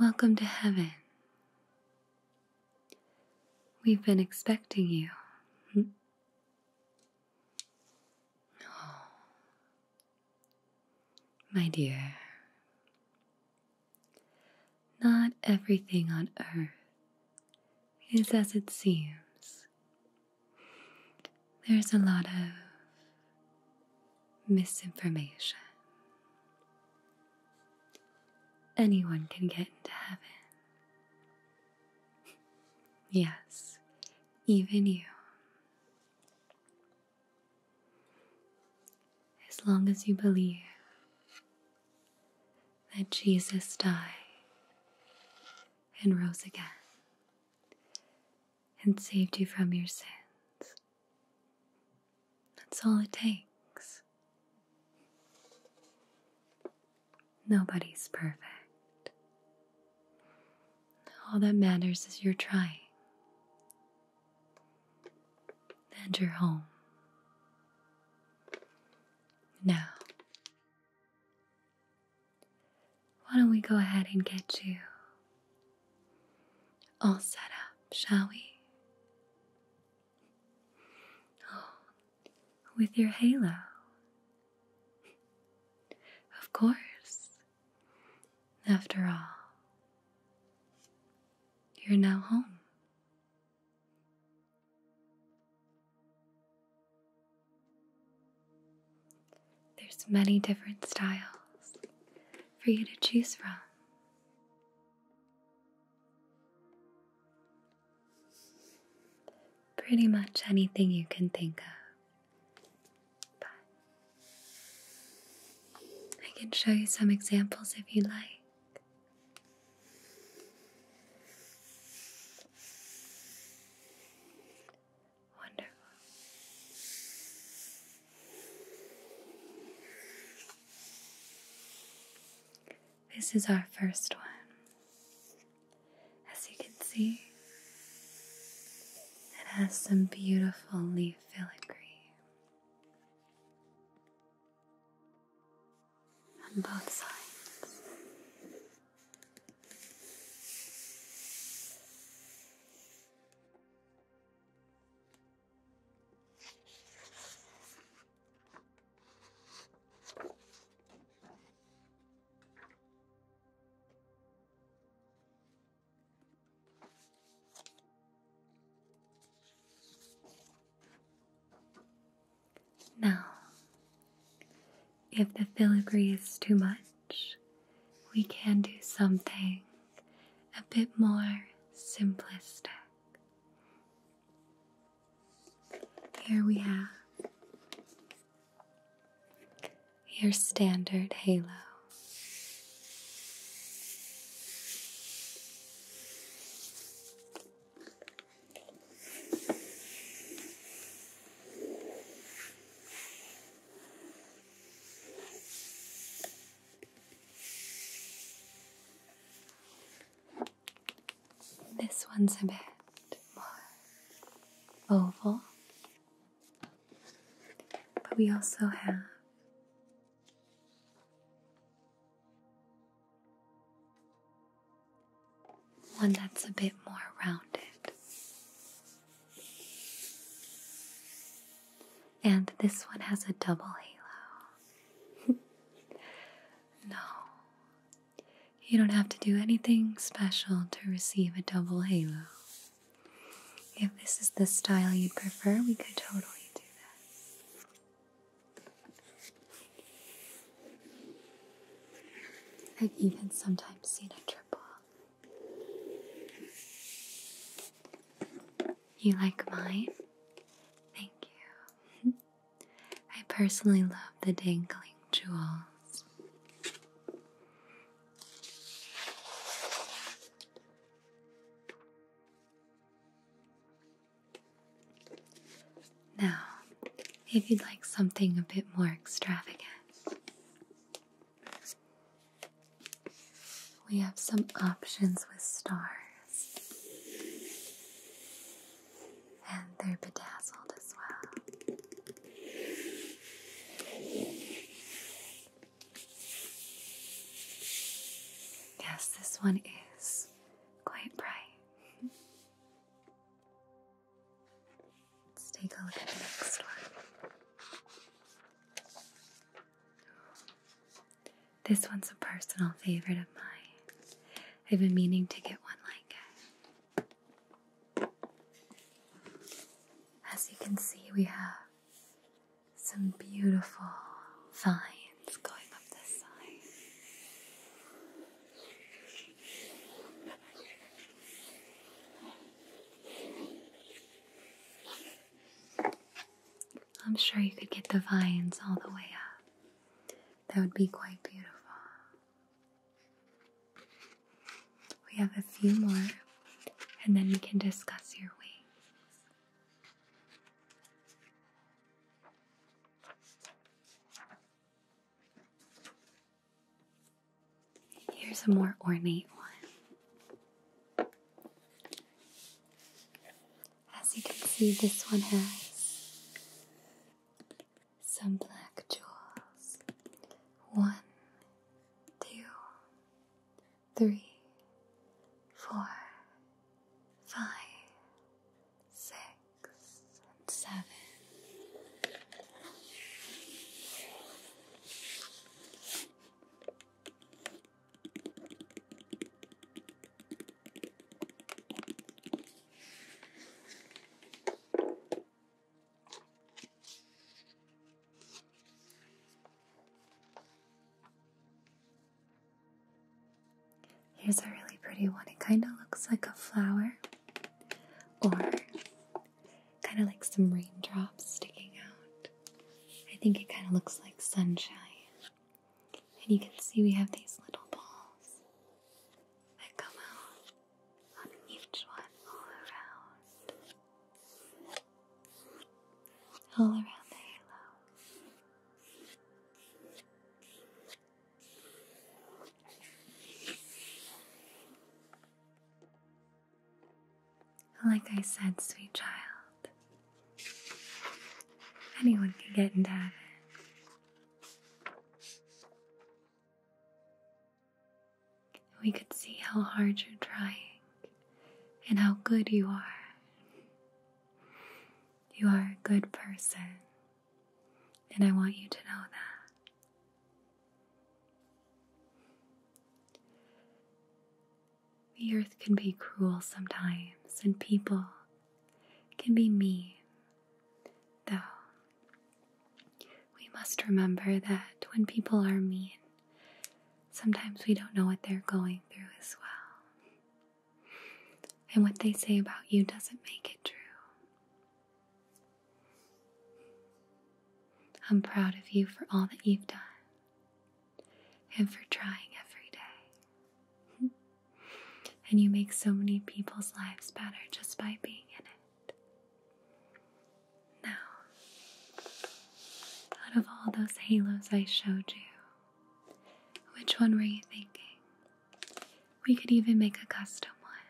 Welcome to heaven. We've been expecting you. Hmm? Oh. my dear, not everything on earth is as it seems. There's a lot of misinformation. Anyone can get into heaven. Yes, even you as long as you believe that Jesus died and rose again and saved you from your sins. That's all it takes. Nobody's perfect. All that matters is you're trying and you're home. Now, why don't we go ahead and get you all set up, shall we? Oh, with your halo. Of course. After all, you're now home. There's many different styles for you to choose from. Pretty much anything you can think of. I can show you some examples if you like. Wonderful. This is our first one. As you can see, it has some beautiful leaf filigree on both sides. Now, if the filigree is too much, we can do something a bit more simplistic. Here we have your standard halo. This one's a bit oval, but we also have one that's a bit more rounded. And this one has a double halo. no, you don't have to do anything special to receive a double halo. If this is the style you prefer, we could totally do that. I've even sometimes seen a triple. You like mine? Thank you. I personally love the dangling jewels. Now, if you'd like something a bit more extravagant, we have some options with stars. And they're bedazzled as well. Yes, this one is quite bright. Let's take a look at the next one. This one's a personal favorite of mine. I've been meaning to get one like it. As you can see, we have some beautiful vines lines going up this side. I'm sure you could get the vines all the way up. That would be quite beautiful. We have a few more, and then we can discuss your wings. Here's a more ornate one. As you can see, this one has some black jewels. One, two, three, four, five, six, and seven. Here's a really pretty one. It kind of looks like a flower or kind of like some raindrops sticking out. I think it kind of looks like sunshine. And you can see we have these little balls that come out on each one all around, all around the halo. Like I said, sweet child, anyone can get into heaven. We could see how hard you're trying and how good you are. You are a good person, and I want you to know that. The earth can be cruel sometimes, and people can be mean, though. We must remember that when people are mean, sometimes we don't know what they're going through as well. And what they say about you doesn't make it true. I'm proud of you for all that you've done and for trying every day. and you make so many people's lives better just by being in it. Now, out of all those halos I showed you, which one were you thinking? We could even make a custom one.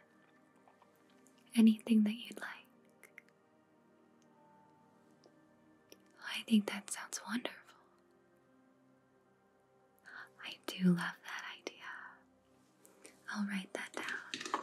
Anything that you'd like. I think that sounds wonderful. I do love that idea. I'll write that down.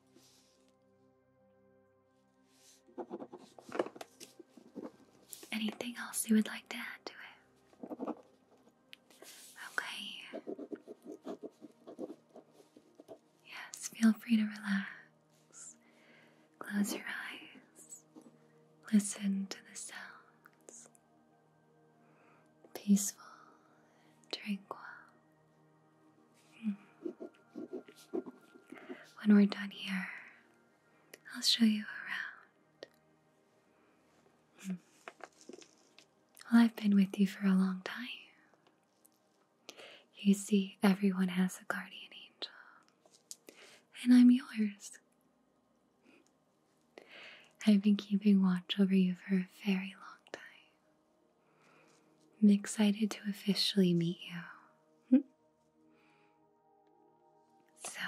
Anything else you would like to add to it? Okay. Yes, feel free to relax. Close your eyes. Listen to the sounds. Peaceful, tranquil. When we're done here, I'll show you around. Hmm. Well, I've been with you for a long time. You see, everyone has a guardian angel, and I'm yours. I've been keeping watch over you for a very long time. I'm excited to officially meet you. Hmm. so,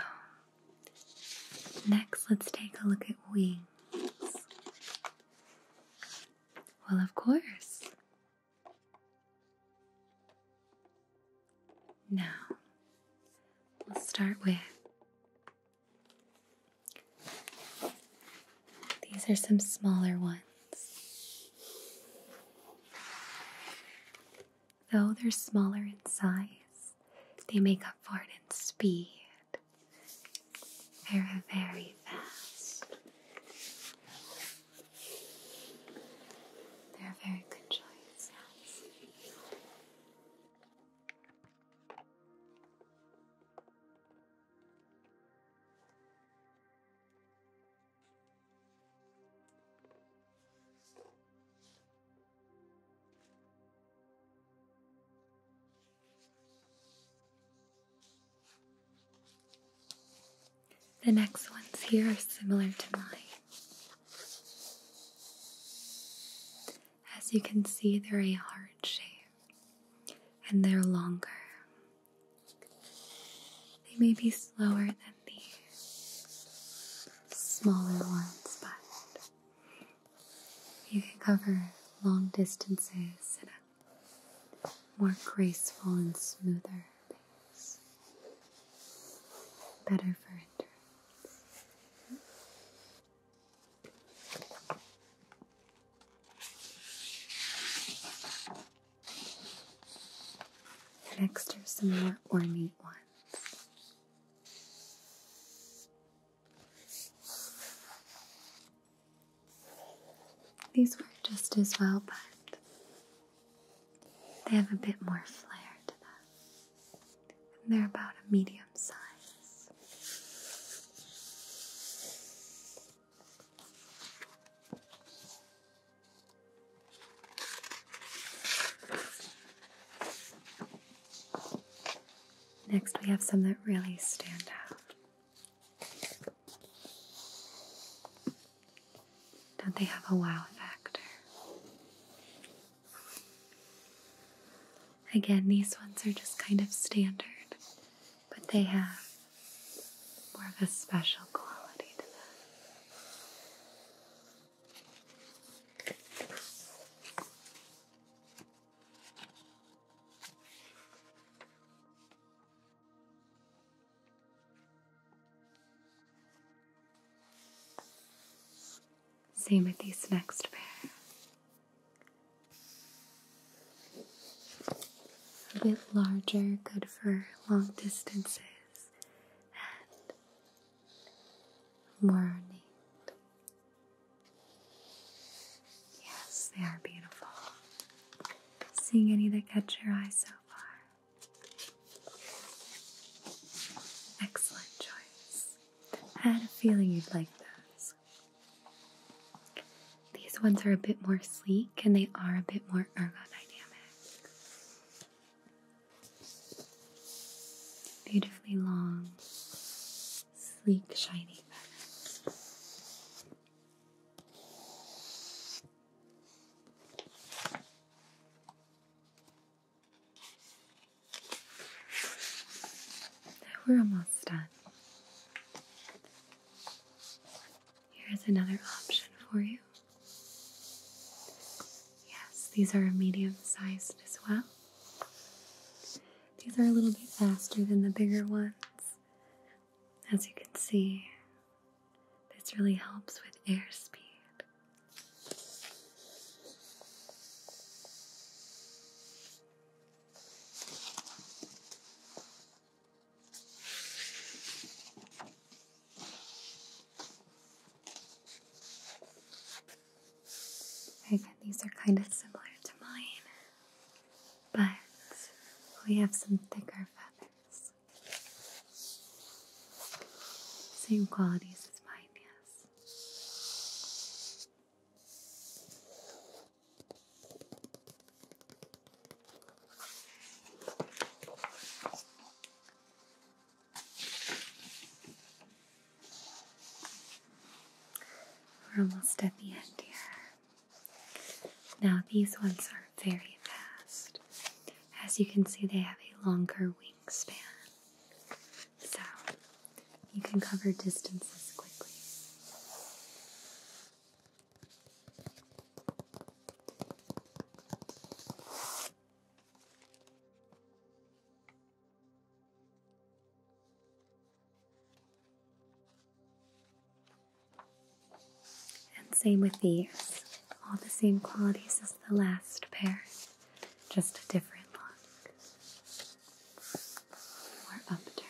next let's take a look at wings. Well, of course. Now, let's start with these are some smaller ones. Though they're smaller in size, they make up for it in speed. They're very fast. They're very good choice, the next ones here are similar to mine. As you can see, they're a heart shape and they're longer. They may be slower than the smaller ones, but you can cover long distances at a more graceful and smoother pace. Better for endurance. Next are some more ornate ones. These work just as well, but they have a bit more flair to them. And they're about a medium size. Next, we have some that really stand out. Don't they have a wow factor? Again, these ones are just kind of standard, but they have more of a special quality to them. Same with these next pair a bit larger, good for long distances, Morning. Yes, they are beautiful. Seeing any that catch your eye so far? Excellent choice. I had a feeling you'd like those. These ones are a bit more sleek and they are a bit more ergodynamic. Beautifully long, sleek, shiny fabric. We're almost done. Here is another option for you. Yes, these are medium sized as well. These are a little bit faster than the bigger ones. As you can see, this really helps with airspeed. Again, these are kind of similar to mine, but we have some thicker feathers. Same qualities as mine, yes. We're almost at the end here. Now, these ones are very fast. As you can see, they have a longer wingspan, so you can cover distances quickly. And same with these, all the same qualities as the last pair, just a different look. More upturned.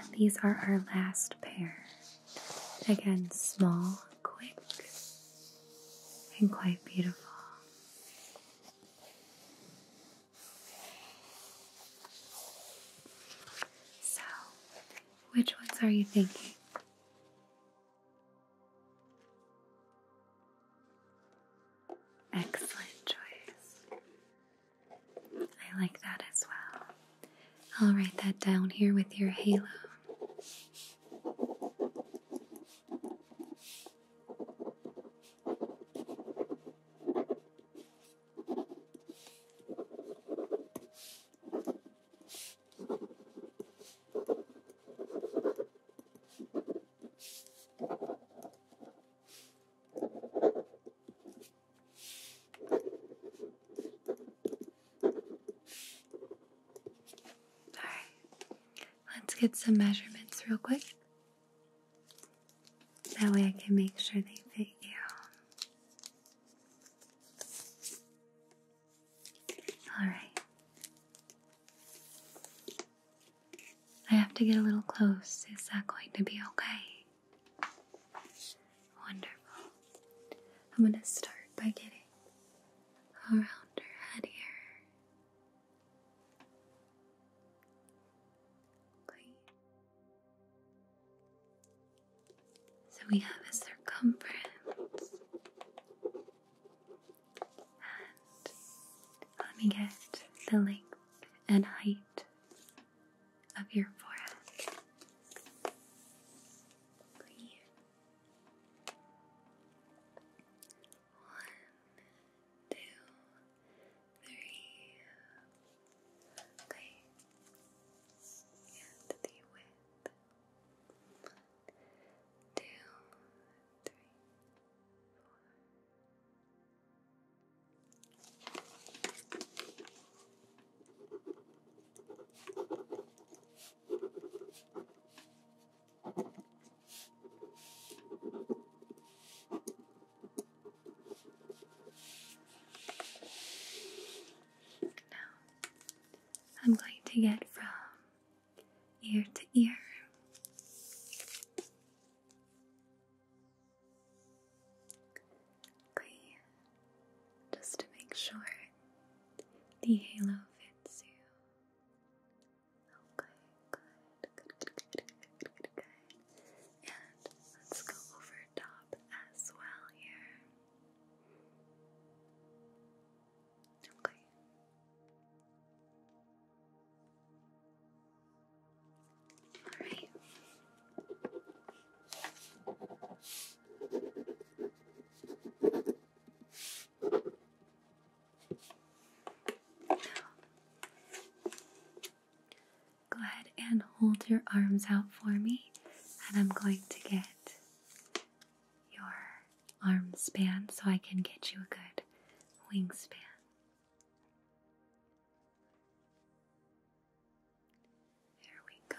And these are our last pair. Again, small, quick, and quite beautiful. So, which ones are you thinking? Excellent choice. I like that as well. I'll write that down here with your halo let's get some measurements real quick. That way I can make sure they fit you. All right. I have to get a little close. Is that going to be okay? Wonderful. I'm going to start by getting around her head here. So we have a circumference. And let me get the length and height of your forehead. Three. One, And the width two, three, four. Good. Now, I'm going to get from ear to ear. Okay, just to make sure the halo fits you. Okay, good, good, good, good, good, good, And let's go over top as well here. Okay. All right. go ahead and hold your arms out for me, and I'm going to get your arm span so I can get you a good wingspan. There we go.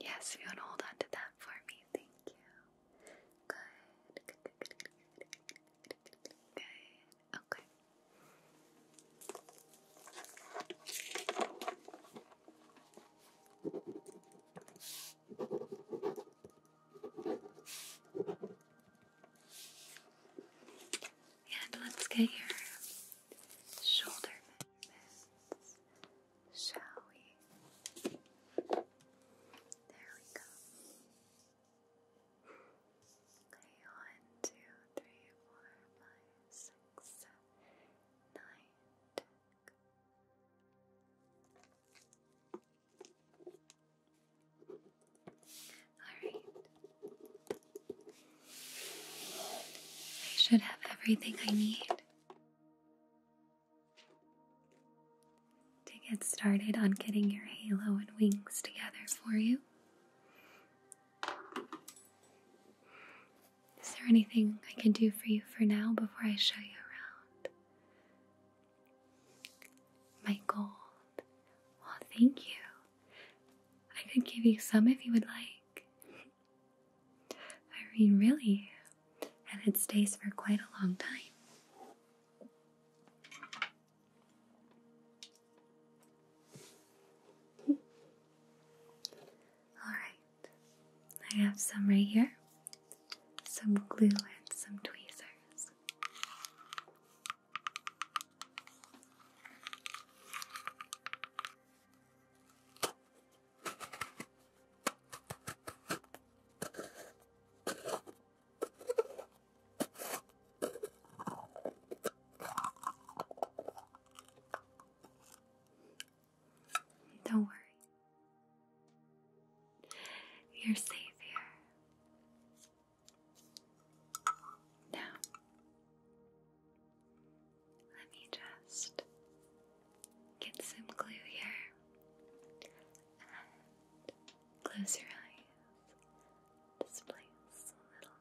Yes, you hold on that for me. Thank you. Good. Good. Good. Good. Good. good. Okay. And let's get your shoulder shall we? There we go. Okay, Alright. I should have everything I need to get started on getting your halo and wings together for you. Is there anything I can do for you for now before I show you around? My gold. Well, thank you. I could give you some if you would like. I mean, really, and it stays for quite a long time. Alright, I have some right here, some glue and some tweezers. Don't worry. You're safe here. Now, let me just get some glue here and close your eyes. This place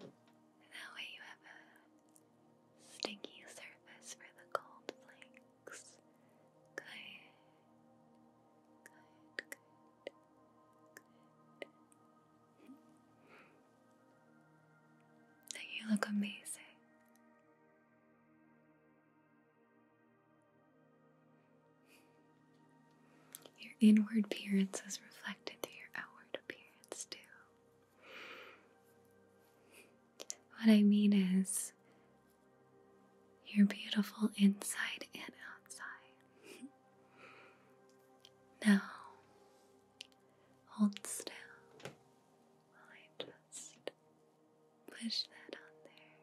That way you have a stinky surface for the cold flakes. Good. Good, good, good. you look amazing. Your inward appearance is reflected through your outward appearance, too. What I mean is, you're beautiful inside and outside. now, hold still while I just push that on there.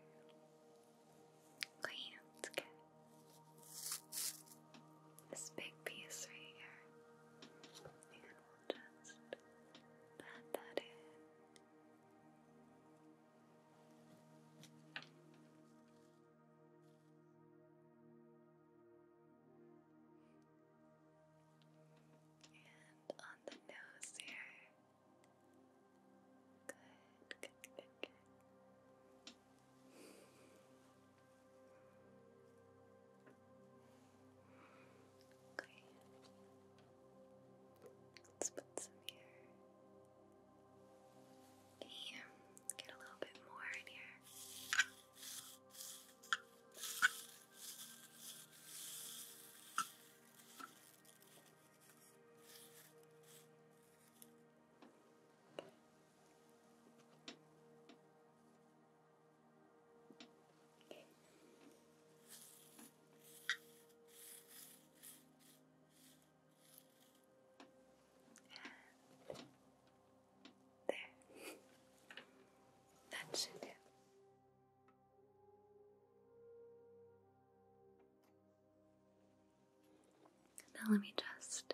Clean, this big piece right here. And we'll just pat that in. And on the nose here. Good, good, good, good. Okay. Let's put some here. Yeah, get a little bit more in here. And there. that should do. Now let me just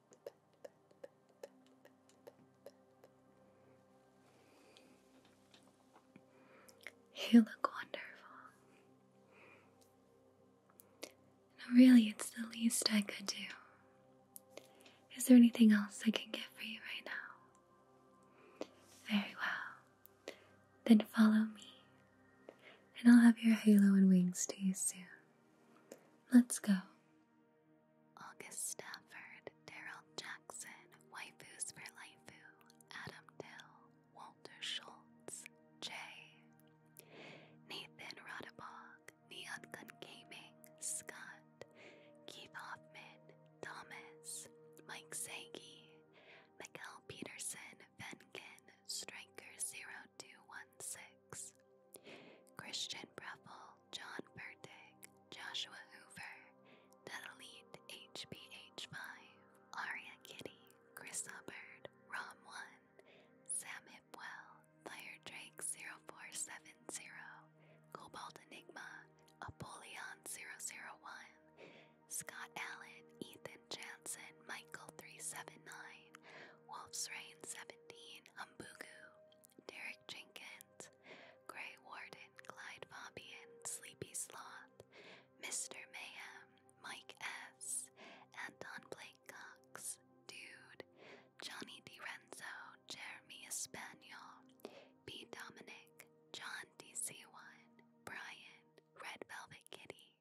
You look wonderful. really, it's the least I could do. Is there anything else I can get for you right now? Very well. Then follow me, and I'll have your halo and wings to you soon. Let's go. August Stafford, Daryl Jackson, Waifus for Laifu, Adam Dill, Walter Schultz, Jay, Nathan Rodabog, Neon Gun Gaming, Scott, Keith Hoffman, Thomas, Mike Sagi, Miguel Peterson, Venkin, Striker0216, Christian Breffel, John Pertig, Joshua Hoover, Dadalit HBH5, Aria Kitty, Chris Hubbard, Rom1, Sam Hipwell, Fire Drake 0470, Cobalt Enigma, Apollyon 001, Scott Allen, Ethan Jansen, Michael 379, Wolf's Rain 17, Humbugu, Derek Jenkins, Grey Warden, Clyde Fabian, Sleepy Sloth, Mr. Mayhem, Mike S., Anton Blake Cox, Dude, Johnny DiRenzo, Jeremy Espanol, B. Dominic, John DC1, Brian, Red Velvet Kitty.